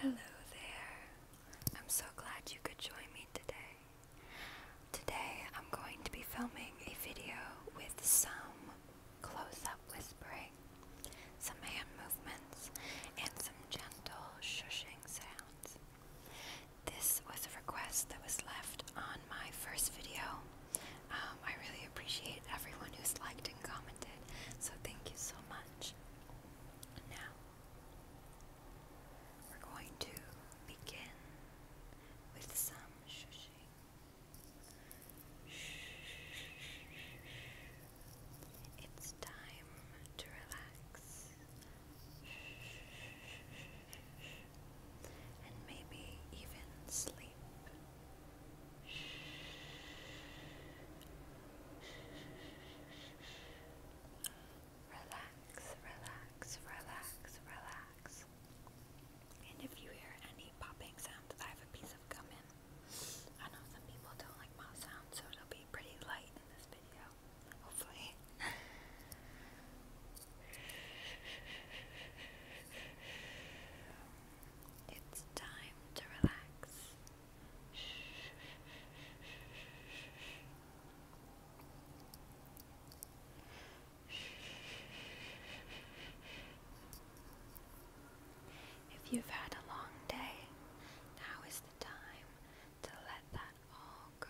Hello there. I'm so glad you could join me today. Today I'm going to be filming a video with some close-up whispering, some hand movements, and some gentle shushing sounds. This was a request that was left on my first video. Um, I really appreciate everyone who's liked and commented, so thank you so much. Now, we're going to begin with some shushing. It's time to relax and maybe even sleep. Relax, relax, relax, relax. And if you hear any popping sounds, I have a piece of gum in. I know some people don't like mouth sounds, so it'll be pretty light in this video. Hopefully. It's time to relax. If you've had a long day, now is the time to let that all go.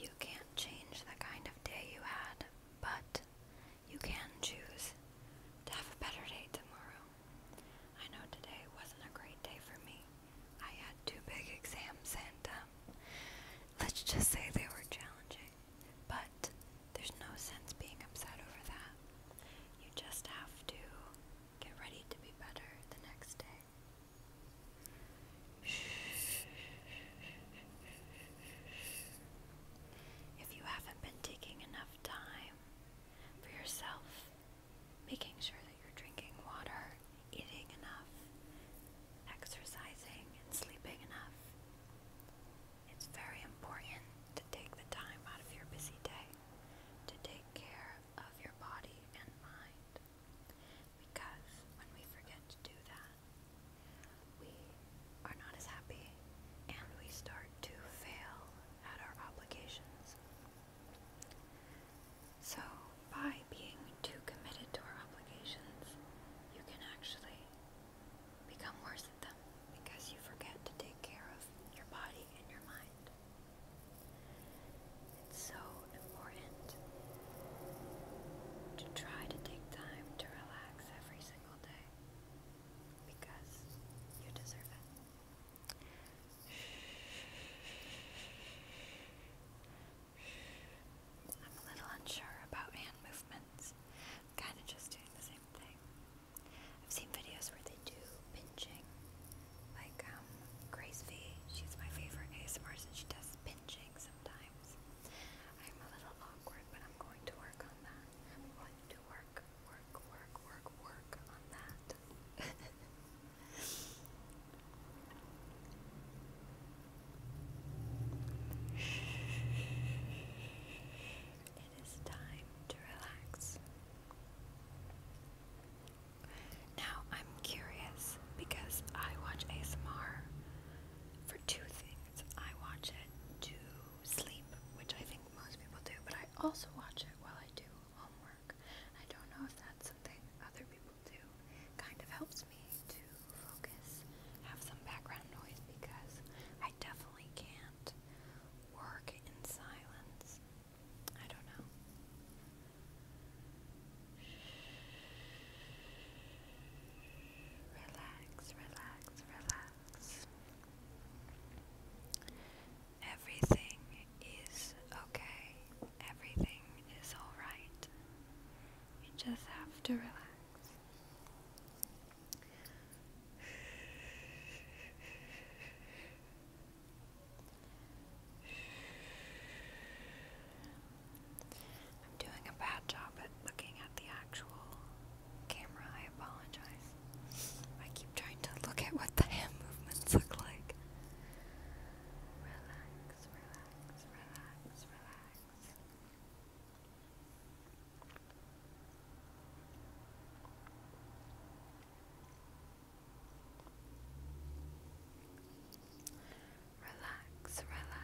You can't change the kind of day you had, but you can choose to have a better day tomorrow. I know today wasn't a great day for me. I had two big exams and um, let's just say they were challenging. But there's no sense being upset over that. You just have to get ready to be better the next day. If you haven't been taking enough time for yourself, making sure that you're drinking water, eating enough, exercising, and sleeping enough. It's very important to take the time out of your busy day to take care of your body and mind. Because when we forget to do that, we are not as happy and we start to fail at our obligations. So, by being too committed to our obligations, you can actually become worse at them because you forget to take care of your body and your mind. It's so important to try to take time to relax every single day. I'm a little unsure about hand movements. kind of just doing the same thing. I've seen videos where they do pinching, like um, Grace V. She's my favorite ASMR, and she does pinching sometimes. I'm a little awkward, but I'm going to work on that. I'm going to work work, work, work, work, work on that. it is time to relax. Now, I'm curious because I watch ASMR for two things. I watch it to sleep, which I think most people do, but I also watch it while I do homework. I don't know if that's something other people do. Kind of helps me to focus, have some background noise because I definitely can't work in silence. I don't know. Relax, relax, relax. Everything is okay. Everything is alright. You just have to relax. I'm doing a bad job at looking at the actual camera, I apologize. I keep trying to look at what the hand movements look like. Relax, relax, relax, relax. Relax, relax.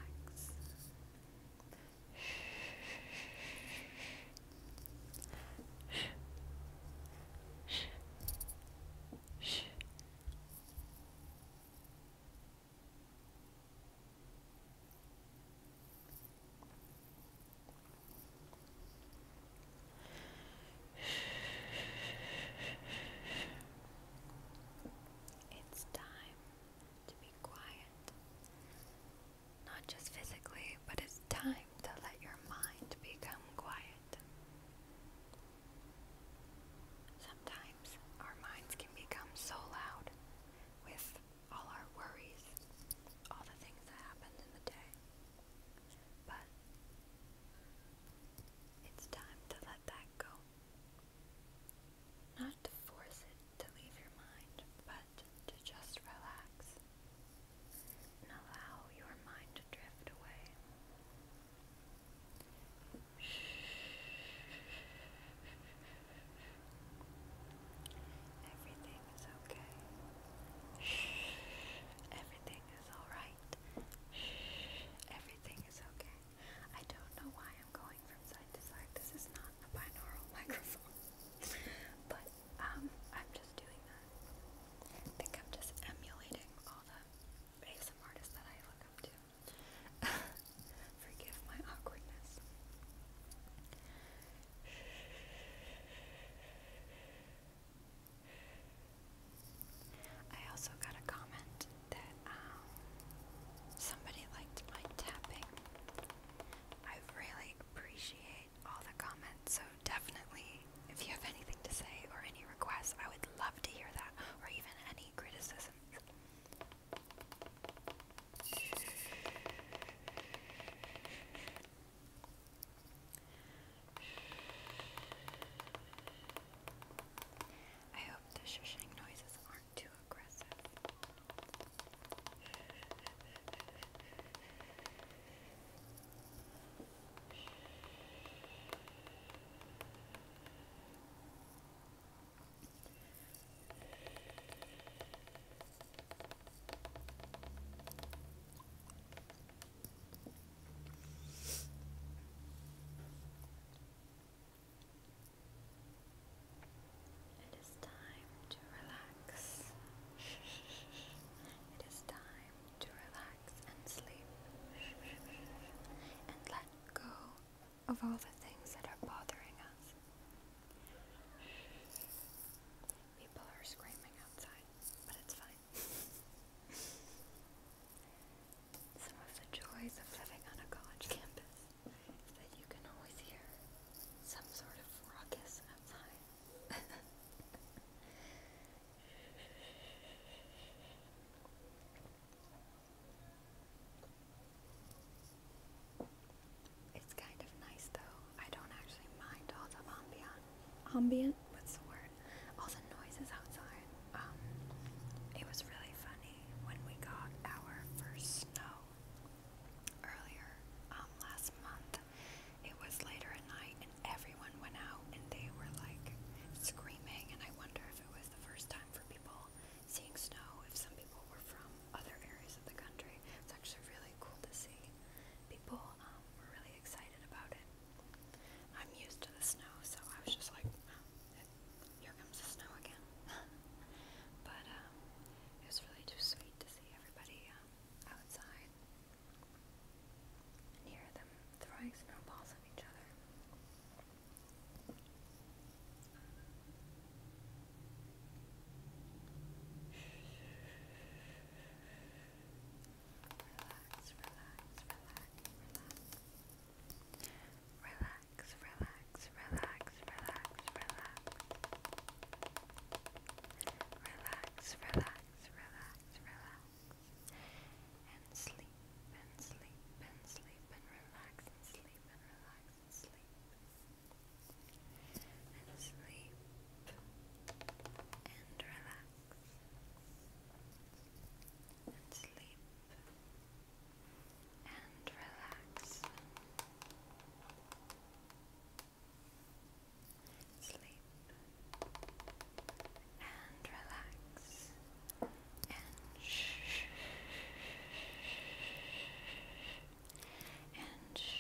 It's time to be quiet. Not just physically, but it's time to let your mind become quiet. Sometimes our minds can become so loud with all our worries, all the things that happened in the day. But it's time to let that go. Not to force it to leave your mind, but to just relax and allow your mind to drift away. Everything is okay. Everything is alright. Everything is okay. I don't know why I'm going from side to side. This is not not a binaural microphone. but um, I'm just doing that. I think I'm just emulating all the ASM artists that I look up to. Forgive my awkwardness. I also got a comment that um, Somebody liked my tapping. I really appreciate all the comments, so definitely, if you have anything to say or any requests, I would love to hear that, or even any criticisms. I hope the shushing noises aren't too aggressive. It is time to relax. it is time to relax and sleep and let go of all the things that are bothering us. People are screaming outside, but it's fine. Some of the joys of living on a college campus that you can always hear some sort of ruckus outside. It's kind of nice though. I don't actually mind all the ambient, ambient, what's the word? All the noises outside. Um, it was really funny. Germany when we got our first snow earlier um, last month. It was later at night and everyone went out and they were like screaming and I wonder if it was the first time for people seeing snow, if some people were from other areas of the country. It's actually really cool to see. People um, were really excited about it. I'm used to the snow, so I was just like, here comes the snow again. but um, it was really too sweet to see everybody um, outside and hear them throwing snowballs at each other. relax, relax, relax. Relax, relax, relax, relax, relax, relax. Relax, relax, relax, And sleep, and sleep, and sleep, and relax, and sleep, and relax, and sleep, and relax. Sleep and relax and shh and shh.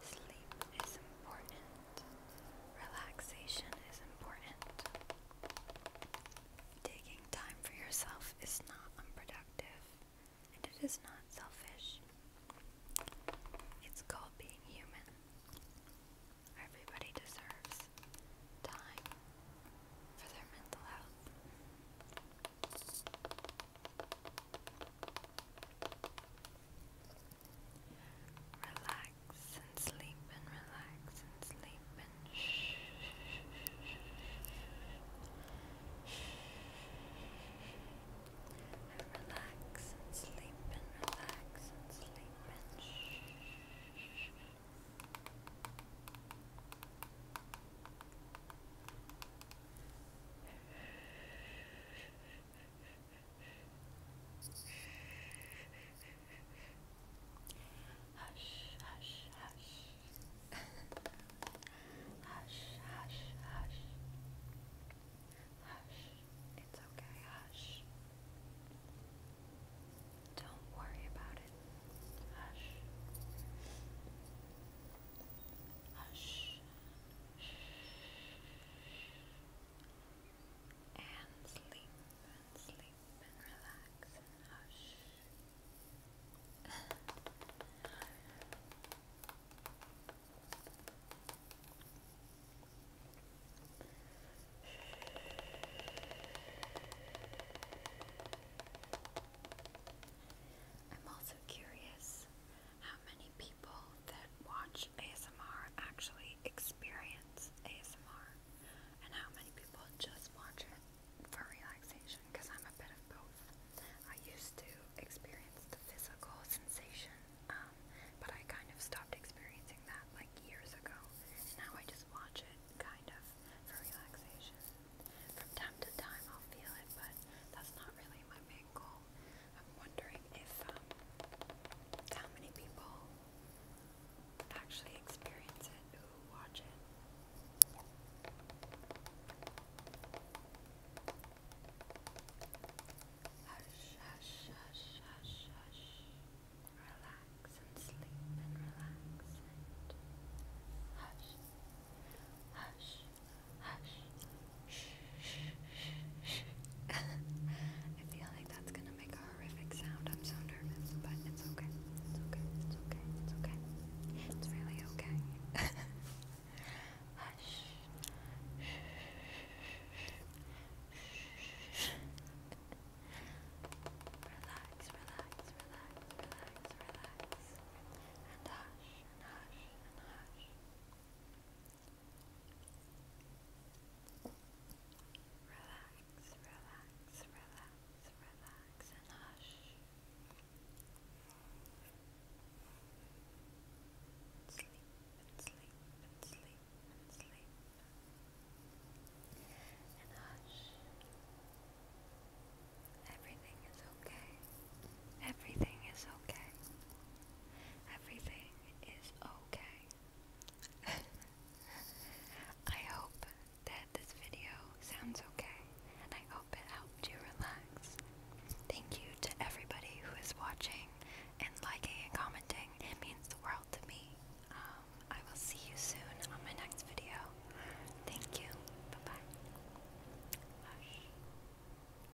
Sleep is important. Relaxation is important. Taking time for yourself is not unproductive and it is not selfish. It's called being human. Everybody deserves time for their mental health. Relax and sleep and relax and sleep and shh. And relax and sleep and relax and sleep and shh. Relax and sleep and relax and sleep and shh. Hush, hush, hush. hush, hush, hush. Hush, it's okay, hush. Don't worry about it. Hush. Hush. Hush. Hush and sleep and sleep and relax and hush. I'm also curious is how many people that watch ASMR actually experience ASMR and how many people just watch it for relaxation because I'm a bit of both. I used to experience the physical sensation, um, but I kind of stopped experiencing that like years ago. And now I just watch it kind of for relaxation. From time to time I'll feel it, but that's not really my main angle. I'm wondering if um, how many people actually experience it who watch it. Hush, hush, hush, hush, hush. Relax and sleep and relax and hush, hush. Hush, Hush. I feel like that's gonna make a horrific sound. I'm so nervous, but it's okay. It's okay. It's okay. It's okay. It's really okay. Hush. relax, relax, relax, relax, relax. And hush, and hush, and hush. Relax, relax, relax, relax, and hush. Sleep sleep sleep sleep. And hush. Everything is okay. Everything is okay. Everything is okay. I hope that this video sounds okay and I hope it helped you relax. Thank you to everybody who is watching and liking and commenting. It means the world to me. Um, I will see you soon on my next video. Thank you. Bye Hush.